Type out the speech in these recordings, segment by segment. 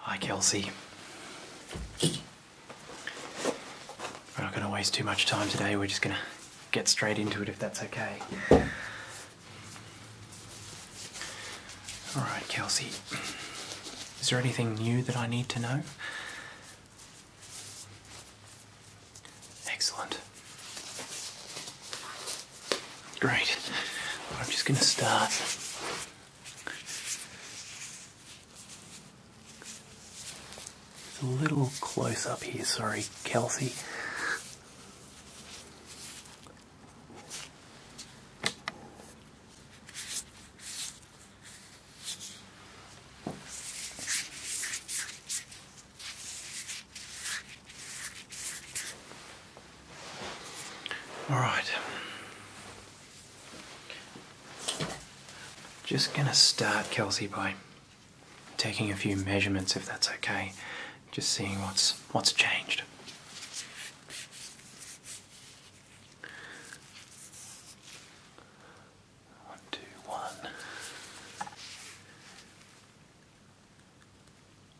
Hi, Kelsey. We're not going to waste too much time today. We're just going to get straight into it if that's okay. All right, Kelsey. Is there anything new that I need to know? Excellent. Great. I'm just going to start it's a little close up here, sorry, Kelsey. All right. Just gonna start, Kelsey, by taking a few measurements, if that's okay. Just seeing what's what's changed. One, two, one.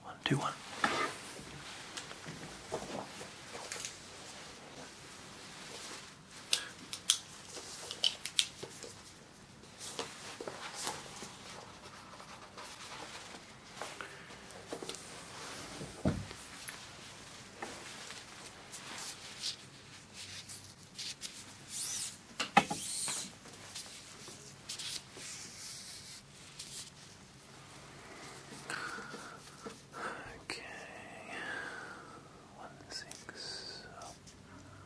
One, two, one. Okay, one six, oh,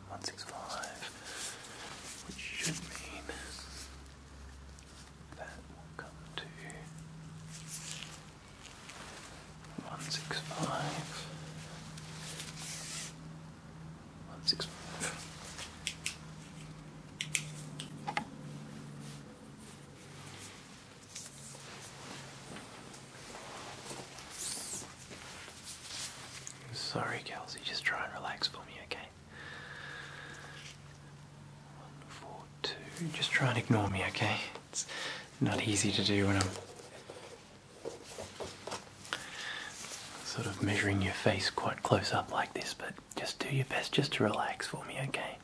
one six five, which should mean that will come to one six five. One six five. I'm sorry, Kelsey. Just try and relax for me, okay? One four two. Just try and ignore me, okay? It's not easy to do when I'm Sort of measuring your face quite close up like this, but just do your best just to relax for me, okay?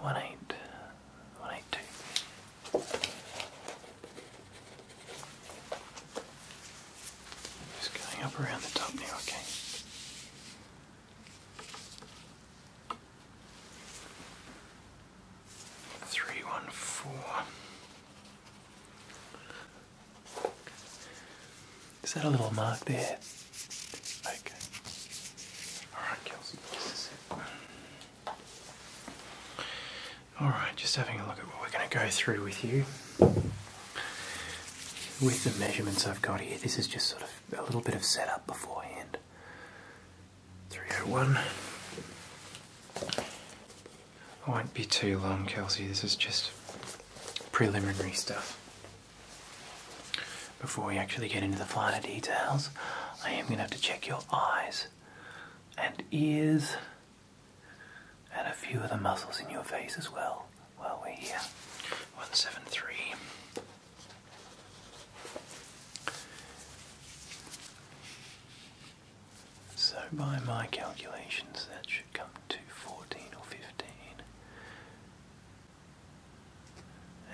One eight, one eight two. Just going up around the top now, okay? three one four. Is that a little mark there? Okay. Alright, Kelsey, this is it. Alright, just having a look at what we're going to go through with you. With the measurements I've got here, this is just sort of a little bit of setup beforehand. 301. I won't be too long, Kelsey. This is just preliminary stuff. Before we actually get into the finer details, I am going to have to check your eyes and ears and a few of the muscles in your face as well while we're here. 173. So by my calculations that should come to 14 or 15.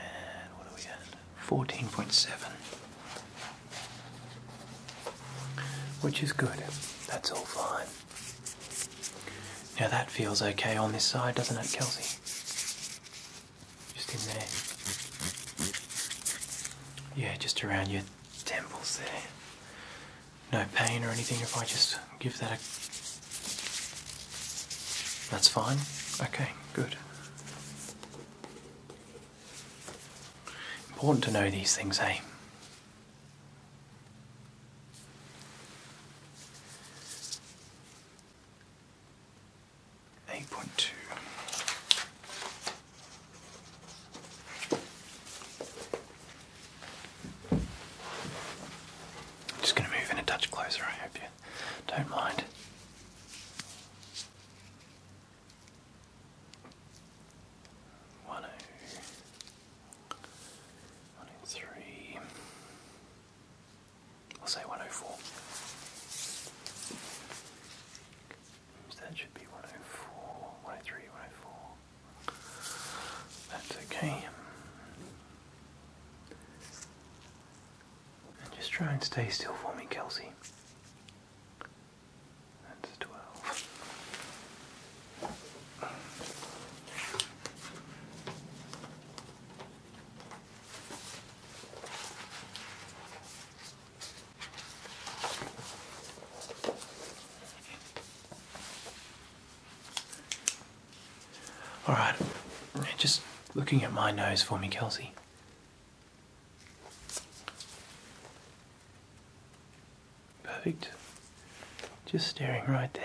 And what are we at? 14.7. Which is good. That's all fine. Now that feels okay on this side, doesn't it, Kelsey? Just in there. Yeah, just around your temples there. No pain or anything if I just give that a. That's fine. Okay, good. Important to know these things, eh? 8.2. just going to move in a touch closer, I hope you don't mind. One oh one oh three I'll say one oh four that should be 104, 103, 104. That's okay. And just try and stay still for me, Kelsey. That's 12. All right, just looking at my nose for me, Kelsey. Perfect. Just staring right there.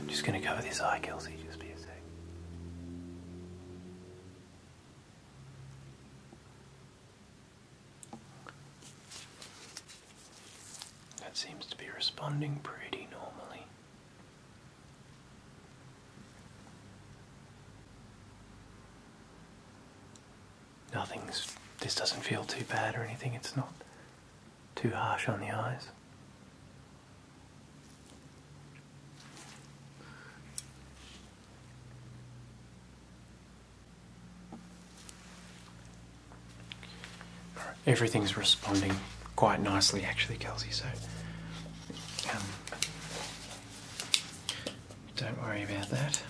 I'm just going to cover this eye, Kelsey, just be a sec. That seems to be responding pretty normally. Nothing's. This doesn't feel too bad or anything, it's not too harsh on the eyes everything's responding quite nicely, actually, Kelsey. So um, don't worry about that.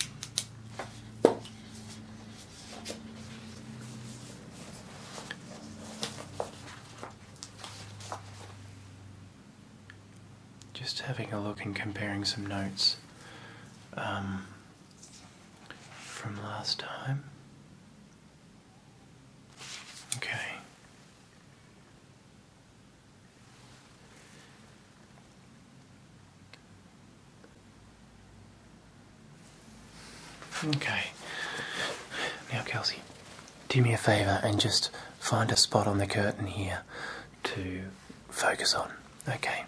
Just having a look and comparing some notes um, from last time. Okay. Okay. Now, Kelsey, do me a favour and just find a spot on the curtain here to focus on. Okay.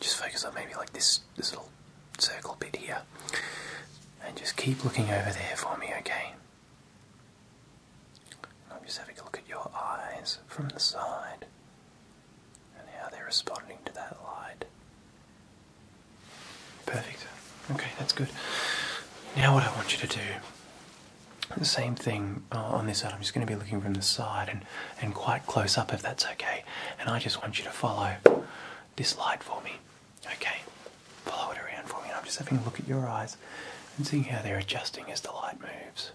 Just focus on maybe like this this little circle bit here. And just keep looking over there for me, okay? I'm just having a look at your eyes from the side and how they're responding to that light. Perfect. Okay, that's good. Now, what I want you to do, the same thing uh, on this side, I'm just going to be looking from the side and, and quite close up if that's okay. And I just want you to follow this light for me. Okay, follow it around for me. I'm just having a look at your eyes and seeing how they're adjusting as the light moves.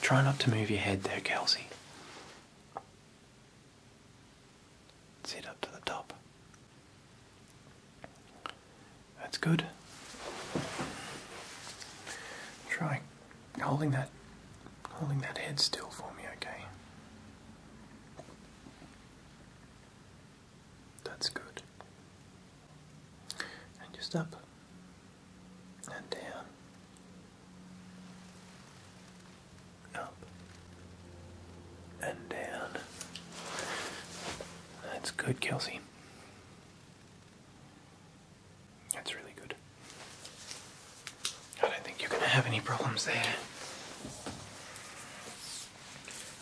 Try not to move your head there, Kelsey. Sit up to the top. That's good. Try holding that holding that head still for me, okay? That's good. And just up and down. Up and down. That's good, Kelsey. That's really good. I don't think you're going to have any problems there.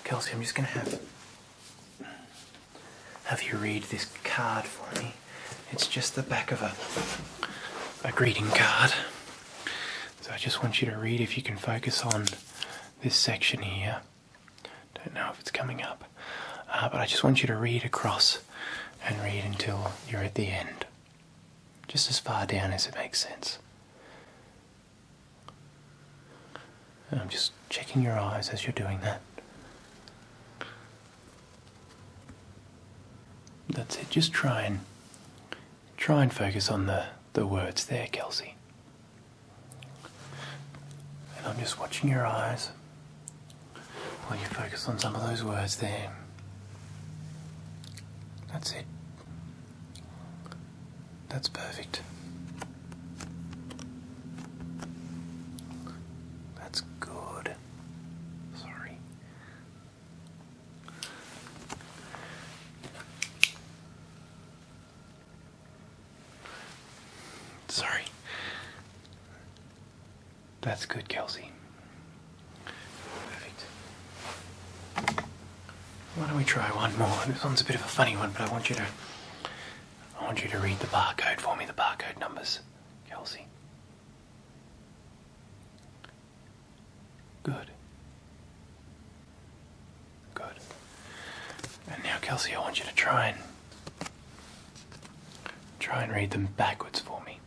Kelsey, I'm just going to have have you read this card for me. It's just the back of a a greeting card. So I just want you to read if you can focus on this section here. Don't know if it's coming up. Uh, but I just want you to read across and read until you're at the end. Just as far down as it makes sense. I'm just checking your eyes as you're doing that. That's it. Just try and try and focus on the, the words there, Kelsey. And I'm just watching your eyes while you focus on some of those words there. That's it. That's perfect. That's good. Sorry. Sorry. That's good, Kelsey. Perfect. Why don't we try one more? This one's a bit of a funny one, but I want you to I want you to read the barcode for me, the barcode numbers, Kelsey. Good. Good. And now Kelsey, I want you to try and try and read them backwards for me.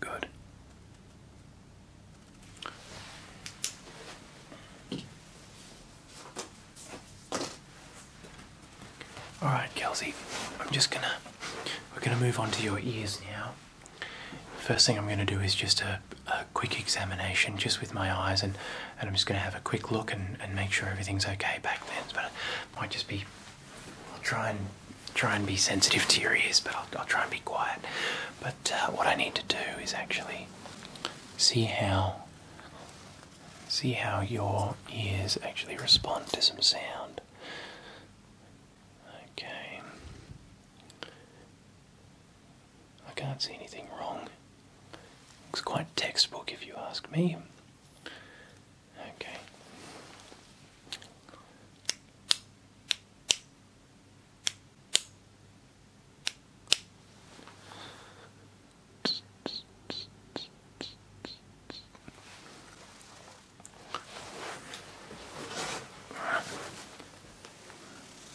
Good. All right, Kelsey. I'm just gonna we're gonna move on to your ears now. First thing I'm going to do is just a, quick examination just with my eyes and, I'm just going to have a quick look and, make sure everything's okay back lens but I might just be I'll try and try and be sensitive to your ears but I'll, try and be quiet but uh, what I need to do is actually see how see how your ears actually respond to some sound Okay. I can't see anything wrong. Looks quite textbook if you ask me. Okay.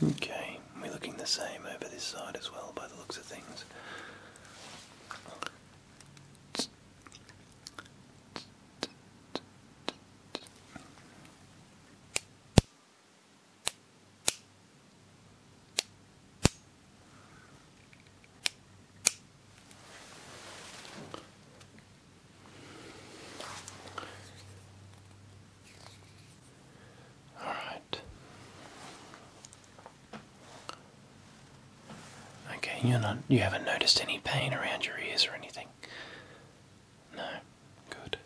Okay, we're looking the same over this side as well by the looks of things. All right. Okay, you're not you haven't noticed any pain around your ears or anything. No. Good.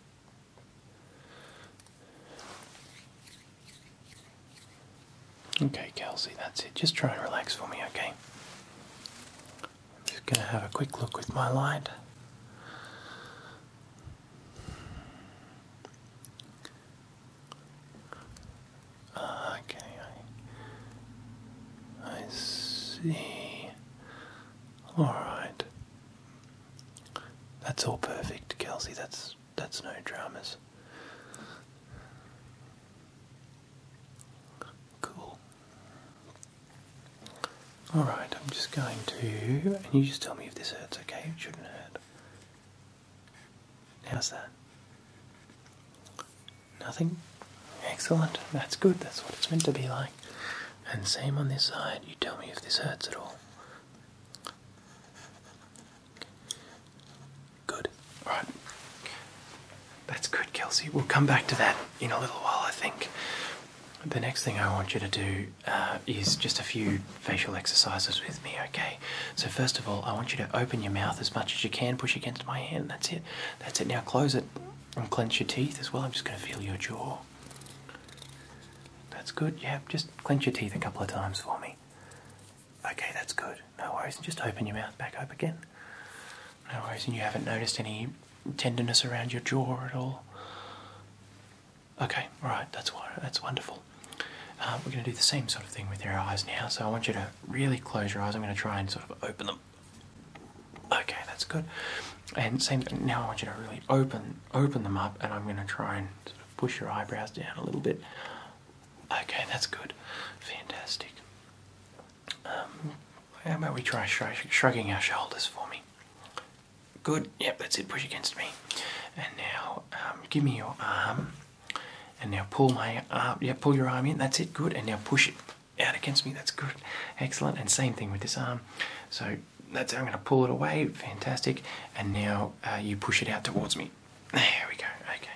Okay, Kelsey, that's it. Just try and relax for me, okay? just going to have a quick look with my light. okay, I, I see. Alright. That's all perfect, Kelsey. That's that's no dramas. Cool. Alright, I'm just going to. And you just tell me if this hurts, okay? It shouldn't hurt. How's that? Nothing? Excellent. That's good. That's what it's meant to be like. And same on this side. You tell me if this hurts at all. Good. Alright. That's good, Kelsey. We'll come back to that in a little while, I think. The next thing I want you to do uh, is just a few facial exercises with me, okay? So, first of all, I want you to open your mouth as much as you can, push against my hand. That's it. That's it. Now, close it and clench your teeth as well. I'm just going to feel your jaw. That's good. Yeah, just clench your teeth a couple of times for me. Okay, that's good. No worries. Just open your mouth back up again. No reason you haven't noticed any tenderness around your jaw at all. Okay, all right, that's that's wonderful. Uh, we're going to do the same sort of thing with your eyes now. So I want you to really close your eyes. I'm going to try and sort of open them. Okay, that's good. And same thing. Now I want you to really open open them up, and I'm going to try and sort of push your eyebrows down a little bit. Okay, that's good. Fantastic. Um, how about we try shrugging our shoulders for me? Good. Yep, that's it. Push against me. And now, um, give me your arm. And now pull my arm. Yeah, pull your arm in. That's it. Good. And now push it out against me. That's good. Excellent. And same thing with this arm. So that's how I'm going to pull it away. Fantastic. And now uh, you push it out towards me. There we go. Okay,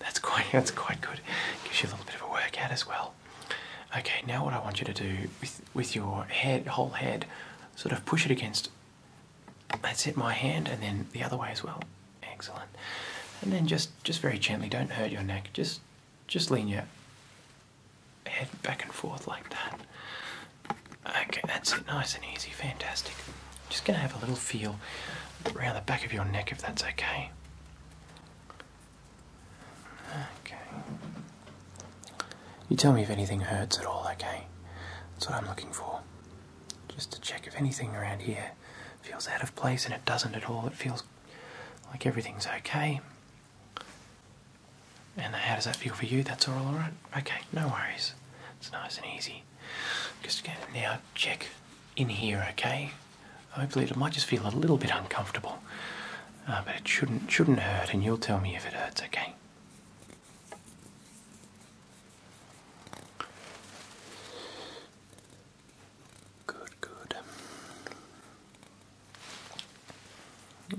that's quite that's quite good. Gives you a little bit of a workout as well. Okay, now what I want you to do with with your whole head, sort of push it against. That's it, my hand, and then the other way as well. Excellent. And then just just very gently, don't hurt your neck. Just just lean your head back and forth like that. Okay, that's it, nice and easy, fantastic. Just gonna have a little feel around the back of your neck if that's okay. Okay. You tell me if anything hurts at all, okay? That's what I'm looking for. Just to check if anything around here feels out of place, and it doesn't at all. It feels like everything's okay. And how does that feel for you? That's all alright? Okay, no worries. It's nice and easy. Just now check in here, okay? Hopefully, it might just feel a little bit uncomfortable, uh, but it shouldn't shouldn't hurt. And you'll tell me if it hurts, okay? Good, good.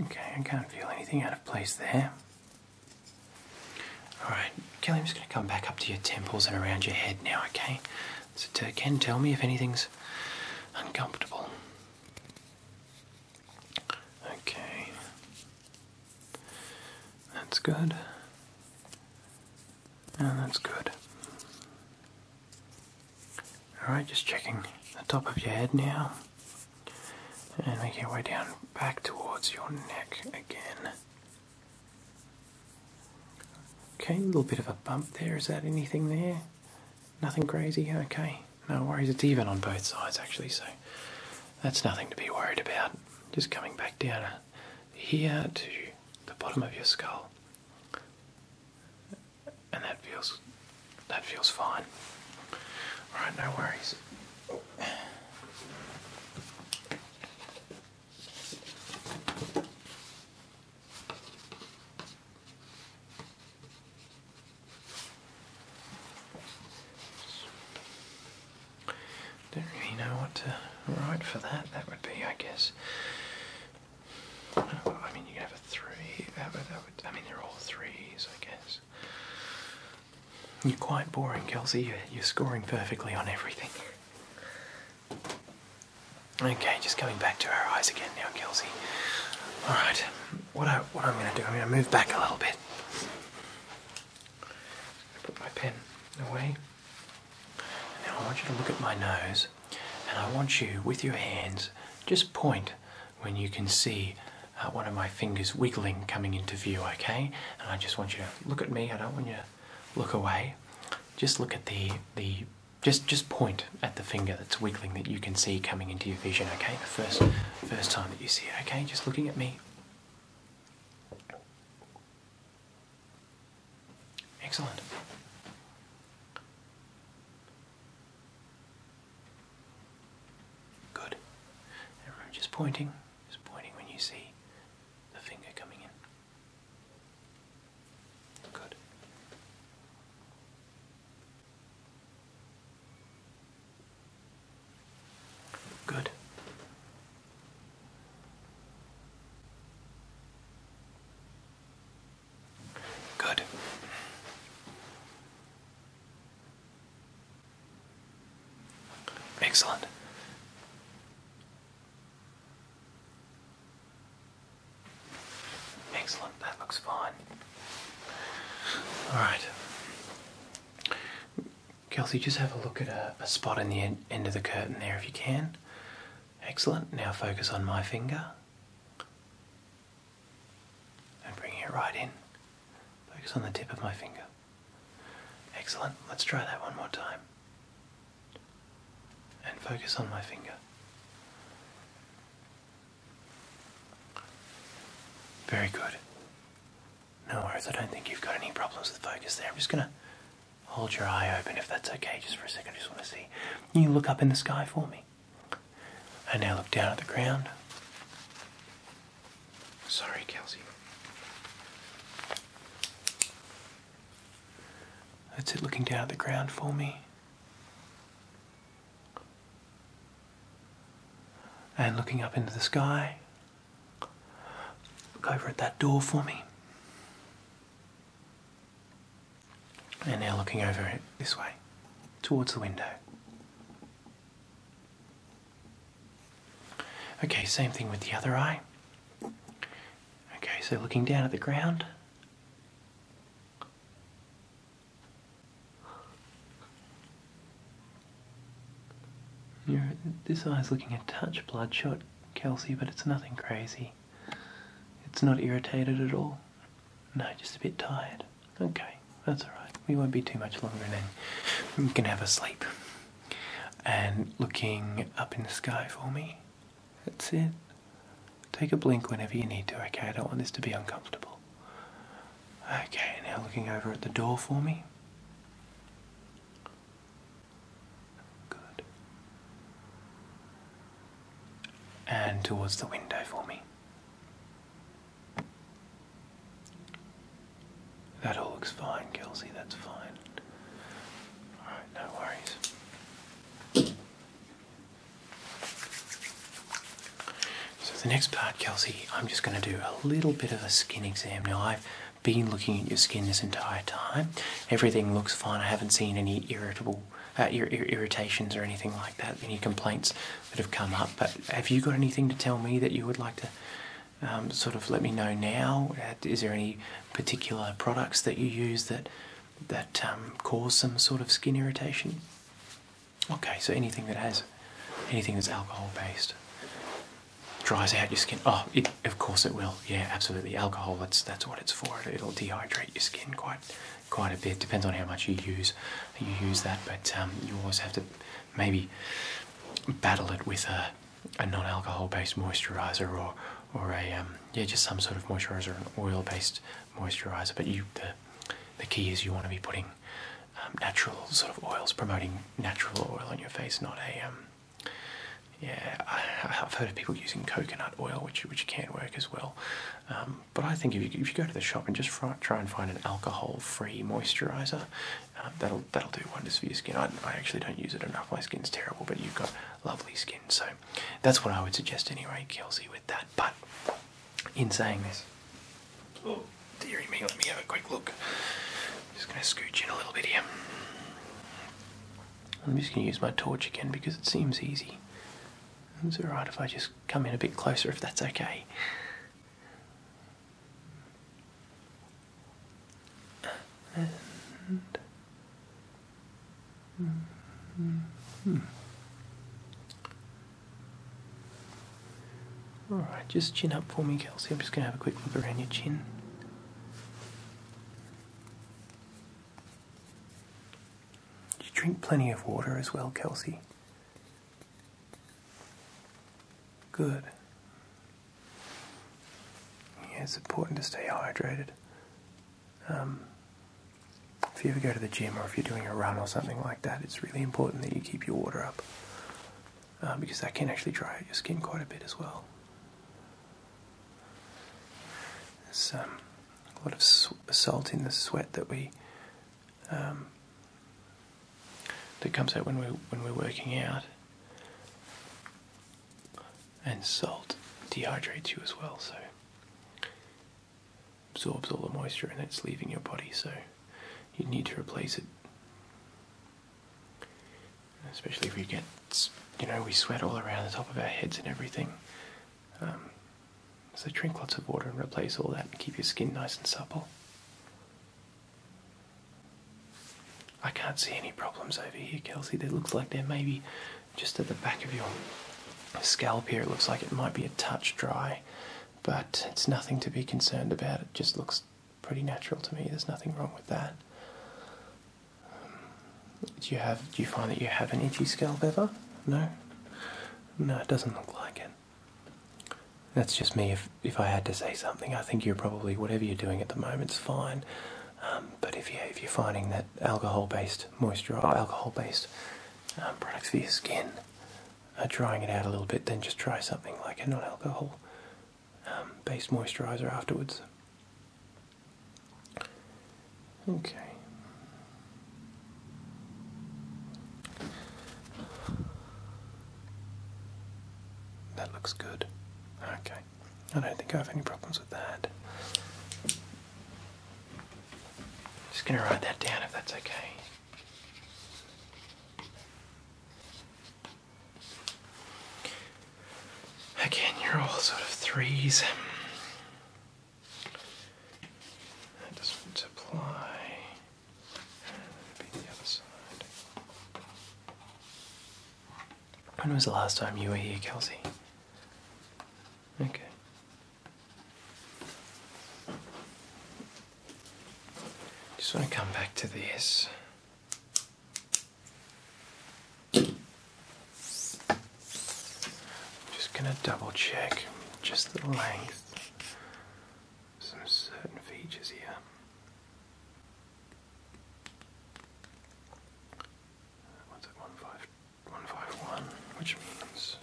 Okay, I can't feel anything out of place there. Alright, Kelly, I'm just going to come back up to your temples and around your head now, okay? So, can tell me if anything's Uncomfortable. Okay, that's good, and that's good. Alright, just checking the top of your head now. And make your way down back towards your neck again. Okay, a little bit of a bump there. Is that anything there? Nothing crazy? Okay. No worries. It's even on both sides, actually, so that's nothing to be worried about. Just coming back down here to the bottom of your skull. And that feels that feels fine. Alright, no worries. Don't really know what to write for that. That would be, I guess. I, mean, you could have a three. I mean, they're all threes, I guess. You're quite boring, Kelsey. you're scoring perfectly on everything. Okay, just coming back to our eyes again now, Kelsey. All right, what, I, I'm going to do, I'm going to move back a little bit. I put my pen away. Now I want you to look at my nose, and I want you, with your hands, just point when you can see uh, one of my fingers wiggling coming into view, okay? And I just want you to look at me. I don't want you to look away. Just look at the the just just point at the finger that's wiggling that you can see coming into your vision, okay? The first first time that you see it, okay? Just looking at me. Excellent. Good. just pointing, just pointing when you see the finger coming in. Good. Good. Good. Excellent. Excellent, that looks fine. Alright. Kelsey, just have a look at a, spot in the end, end of the curtain there if you can. Excellent. Now focus on my finger. And bring it right in. Focus on the tip of my finger. Excellent. Let's try that one more time and focus on my finger. Very good. No worries, I don't think you've got any problems with focus there. I'm just gonna hold your eye open if that's okay, just for a second. I just wanna see. You look up in the sky for me. I now look down at the ground. Sorry, Kelsey. That's it, looking down at the ground for me. And looking up into the sky, look over at that door for me. And now looking over it this way, towards the window. Okay, same thing with the other eye. Okay, so looking down at the ground, your, this eye's looking a touch bloodshot, Kelsey, but it's nothing crazy. It's not irritated at all. No, just a bit tired. Okay, that's alright. We won't be too much longer then we can have a sleep. And looking up in the sky for me. That's it. Take a blink whenever you need to, okay? I don't want this to be uncomfortable. Okay, now looking over at the door for me. Good. And towards the window for me. That all looks fine, Kelsey, that's fine. Alright, no worries. So, the next part, Kelsey, I'm just going to do a little bit of a skin exam. Now, I've been looking at your skin this entire time. Everything looks fine. I haven't seen any irritable uh, irritations or anything like that, any complaints that have come up. But have you got anything to tell me that you would like to um, sort of let me know now? Uh, is there any particular products that you use that that um, cause some sort of skin irritation? Okay, so anything that has anything that's alcohol based dries out your skin. Oh, of course it will. Yeah, absolutely. Alcohol. That's that's what it's for. It'll dehydrate your skin quite quite a bit. Depends on how much you use you use that, but um, you always have to maybe battle it with a a non-alcohol based moisturizer or or a um, yeah, just some sort of moisturizer, an oil-based moisturizer. But you, the key is you want to be putting um, natural sort of oils, promoting natural oil on your face, not a um, yeah. I, have heard of people using coconut oil, which which can work as well. Um, but I think if you if you go to the shop and just try and find an alcohol-free moisturizer, that'll that'll do wonders for your skin. I, actually don't use it enough. My skin's terrible, but you've got lovely skin, so that's what I would suggest anyway, Kelsey, with that. But in saying this, oh, dearie me, let me have a quick look. I'm just going to scooch in a little bit here. I'm just going to use my torch again because it seems easy. It's alright if I just come in a bit closer if that's okay. And Hmm. Hmm. Alright, just chin up for me, Kelsey. I'm just going to have a quick look around your chin. You drink plenty of water as well, Kelsey. Good. Yeah, it's important to stay hydrated. Um, if you ever go to the gym or if you're doing a run or something like that, it's really important that you keep your water up um, because that can actually dry out your skin quite a bit as well. There's um, a lot of salt in the sweat that we that comes out when we when we're working out, and salt dehydrates you as well. So absorbs all the moisture and it's leaving your body, so you need to replace it. Especially if you get, you know, we sweat all around the top of our heads and everything. Um, so drink lots of water and replace all that and keep your skin nice and supple. I can't see any problems over here, Kelsey. There looks like there may be just at the back of your scalp here. It looks like it might be a touch dry, but it's nothing to be concerned about. It just looks pretty natural to me. There's nothing wrong with that. Um, do you have? Do you find that you have an itchy scalp ever? No. No, it doesn't look like it. That's just me. If if I had to say something, I think you're probably whatever you're doing at the moment's fine. Um, but if you are finding that alcohol-based moisturizer, alcohol-based um, products for your skin are drying it out a little bit, then just try something like a non-alcohol um, based moisturizer afterwards. Okay. That looks good. Okay. I don't think I have any problems with that. Just gonna write that down if that's okay. Again, you're all sort of threes. That doesn't apply. That'd be the other side. When was the last time you were here, Kelsey? Okay. Just want to come back to this. Just gonna double check just the length. Some certain features here. What's 151, which means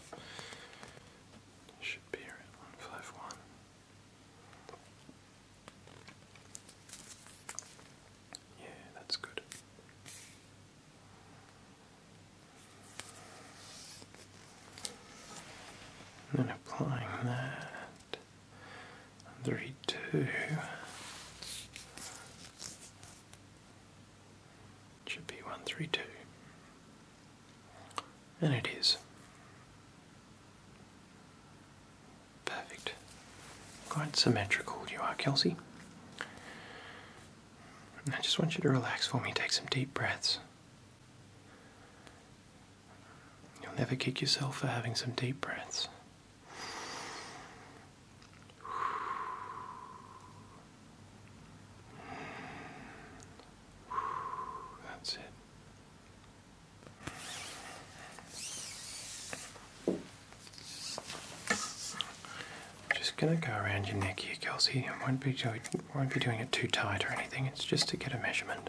it should be around 151. Yeah, that's good. And then applying that, Three two should be 132. And it is. Perfect. Quite symmetrical you are, Kelsey. I just want you to relax for me, take some deep breaths. You'll never kick yourself for having some deep breaths. That's it. I'm just gonna go around your neck here, Kelsey. I won't be won't be doing it too tight or anything. It's just to get a measurement.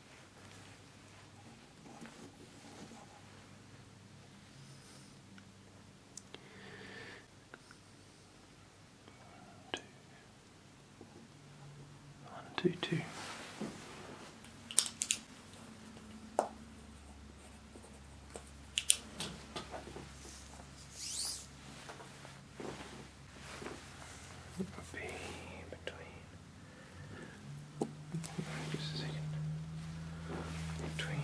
Two. One, It would be between just a second. Between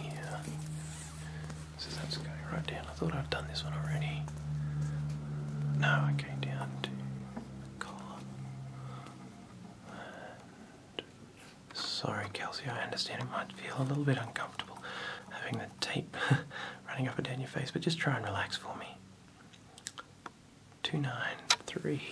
here. So that's going right down. I thought I've done this one already. No, okay, down to sorry, Kelsey, I understand it might feel a little bit uncomfortable having the tape running up and down your face, but just try and relax for me two nine three.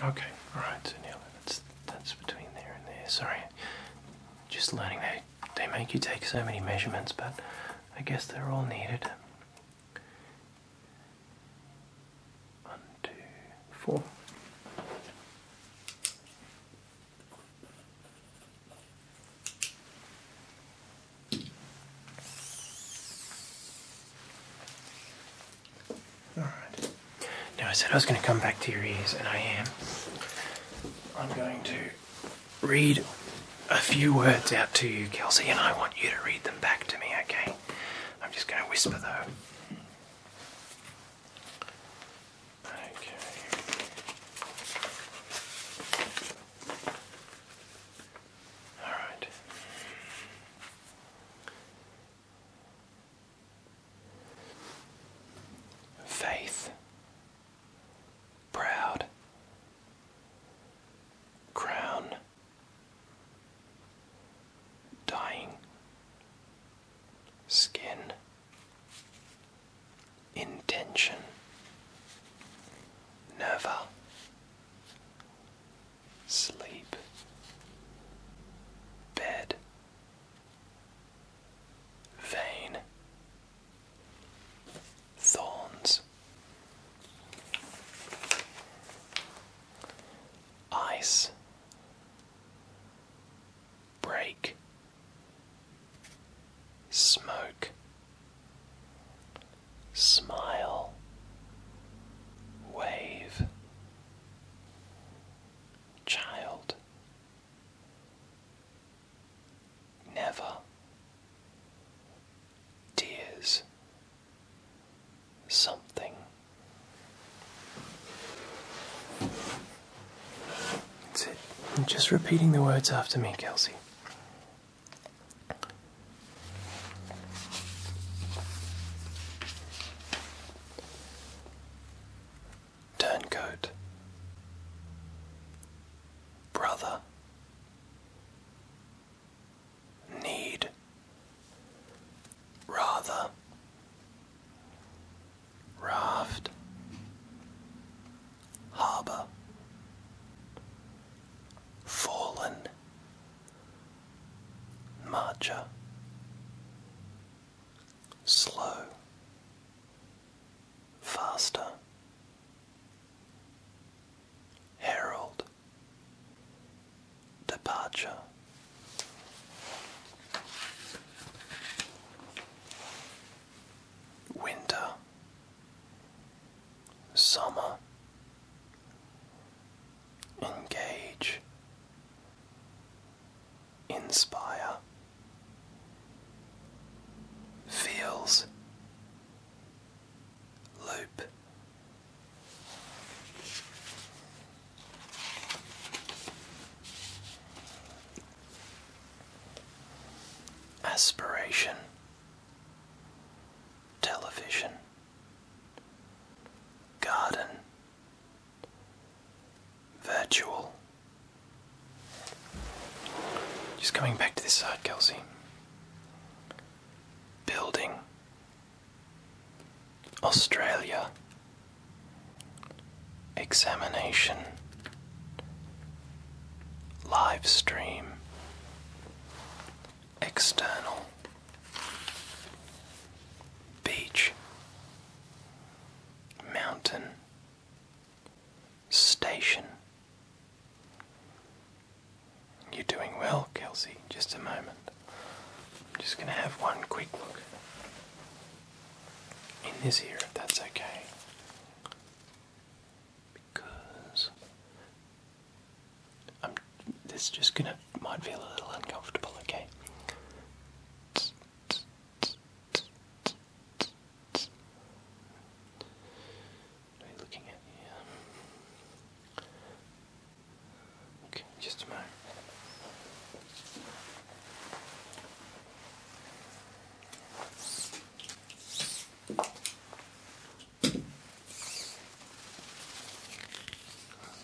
Okay, all right, so now that's that's between there and there. Sorry, just learning they they make you take so many measurements, but I guess they're all needed. One, two, four. Alright. Now, I said I was going to come back to your ears, and I am. I'm going to read a few words out to you, Kelsey, and I want you to read them back to me, okay? I'm just going to whisper, though. Okay. All right. Faith, proud, crown, dying, skin, intention, nerva, sleep, bed, vein, thorns. Ice, break, smoke, smile, wave, child, never, tears something. That's it. just repeating the words after me, Kelsey. Turncoat, brother, need, rather, raft, harbour, fallen, Major. slow, faster, herald, departure. Winter, summer, engage, inspire, feels, loop. Aspiration, television, garden, virtual. Just coming back to this side, Kelsey. Building, Australia Examination Live stream External Beach Mountain Station You're doing well, Kelsey, just a moment. I'm just going to have one quick look in this ear if that's okay. Because I'm this just gonna might feel a little uncomfortable, okay? What are you looking at here? Okay, just a moment.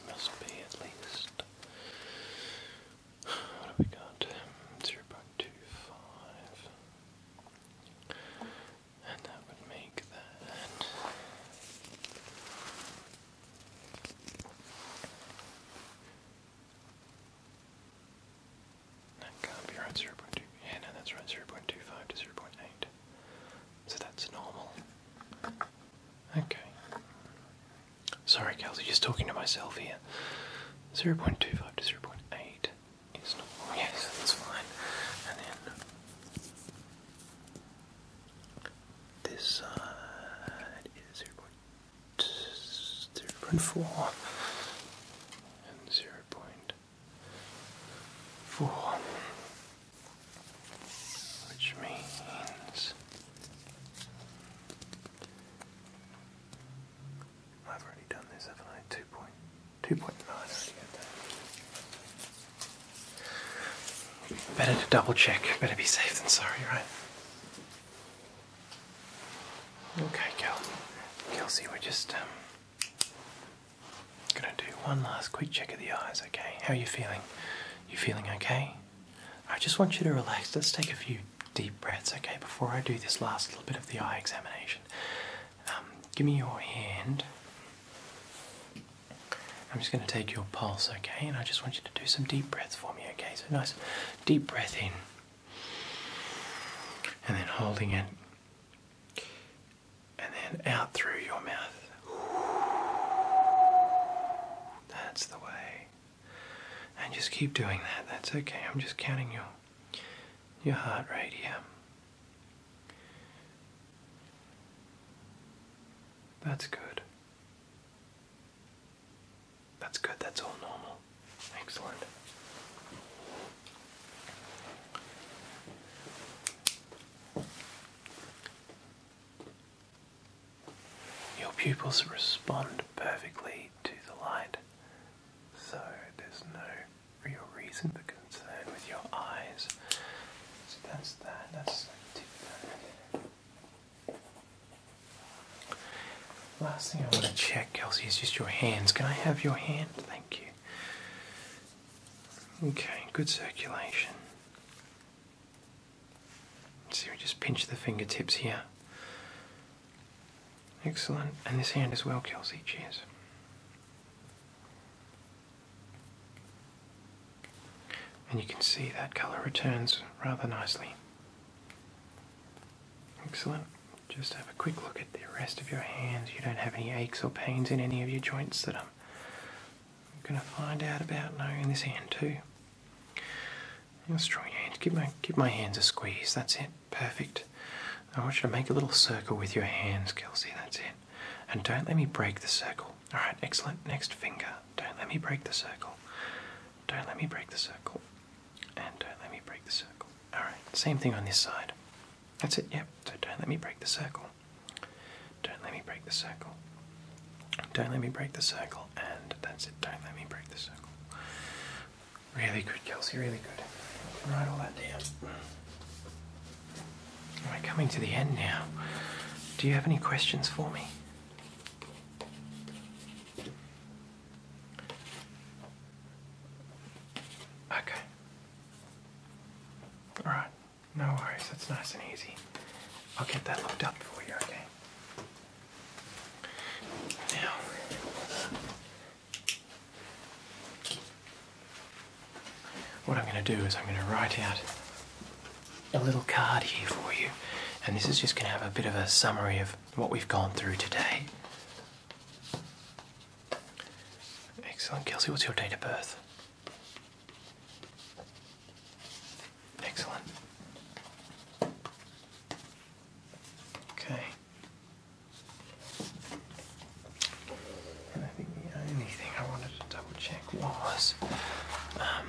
Must be at least. What have we got? Zero point two five, and that would make that that can 0.2. Yeah, no, that's around 0.25 to 0.8. So that's normal. Okay. Sorry, Kelsey, just talking to myself here. 0.25 to 0.8 is normal. Yes, that's fine. This side is 0 and 0.4, which means I've already done this, haven't I? 2.9, I already Better to double check. Better be safe than sorry, right? Okay, Kel. Kelsey, we're just um, gonna do one last quick check of the eyes, okay? How are you feeling? You feeling okay? I just want you to relax. Let's take a few deep breaths, okay, before I do this last little bit of the eye examination. Um, give me your hand. I'm just going to take your pulse, okay? And I just want you to do some deep breaths for me, okay? So, nice deep breath in. And then holding it. And then out through your mouth. That's the way. And just keep doing that. That's okay. I'm just counting your your heart rate here. That's good. That's good, that's all normal. Excellent. Your pupils respond perfectly to the light, so there's no real reason for concern with your eyes. So that's that, that's that tip Last thing I want to check, Kelsey, is just your hands. Can I have your hand? Thank you. Okay, good circulation. See, we just pinch the fingertips here. Excellent. And this hand as well, Kelsey. Cheers. And you can see that color returns rather nicely. Excellent. Just have a quick look at the rest of your hands. You don't have any aches or pains in any of your joints that I'm going to find out about. No, in this hand too. In a strong hand. Give my give my hands a squeeze. That's it. Perfect. I want you to make a little circle with your hands, Kelsey. That's it. And don't let me break the circle. Alright, excellent. Next finger. Don't let me break the circle. Don't let me break the circle. And don't let me break the circle. Alright, same thing on this side. That's it, yep. So don't let me break the circle. Don't let me break the circle. Don't let me break the circle. And that's it, don't let me break the circle. Really good, Kelsey, really good. write all that down. Alright, coming to the end now. Do you have any questions for me? Okay. Alright, no worries, that's nice and easy. I'll get that looked up for you, okay? Now, what I'm going to do is I'm going to write out a little card here for you, and this is just going to have a bit of a summary of what we've gone through today. Excellent, Kelsey. What's your date of birth? Excellent. Okay. And I think the only thing I wanted to double check was um,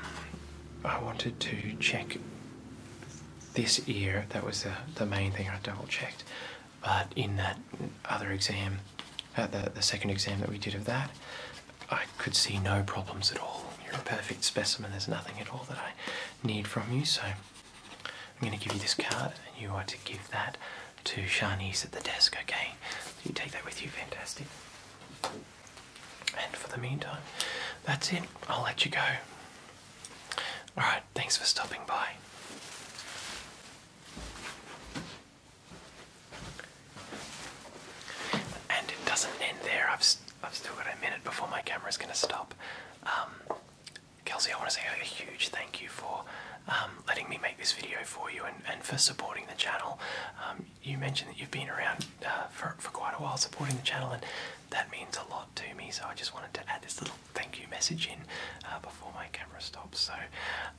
I wanted to check this ear. That was the, main thing I double checked. But in that other exam, uh, the, second exam that we did of that, I could see no problems at all. You're a perfect specimen. There's nothing at all that I need from you. So I'm going to give you this card, and you are to give that to Shanice at the desk. Okay? you take that with you. Fantastic. And for the meantime, that's it. I'll let you go. Alright, thanks for stopping by. And it doesn't end there. I've, i I've still got a minute before my camera is going to stop. Um, Kelsey, I want to say a huge thank you for um, letting me make this video for you and, and for supporting the channel. Um, you mentioned that you've been around uh, for, quite a while supporting the channel, and that means a lot to me. So I just wanted to add this little thank you message in uh, before my camera stops. So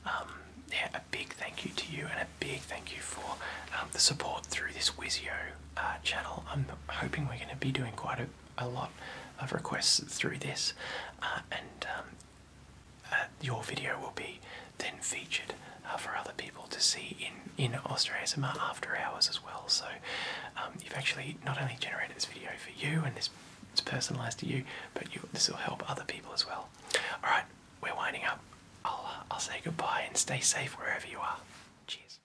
um, yeah, a big thank you to you, and a big thank you for um, the support through this Wizio uh, channel. I'm hoping we're going to be doing quite a, lot of requests through this, and um, your video will be then featured uh, for other people to see in in AustroASMR after hours as well. So um, you've actually not only generated this video for you and this it's personalised to you, but this will help other people as well. All right, we're winding up. I'll uh, I'll say goodbye and stay safe wherever you are. Cheers.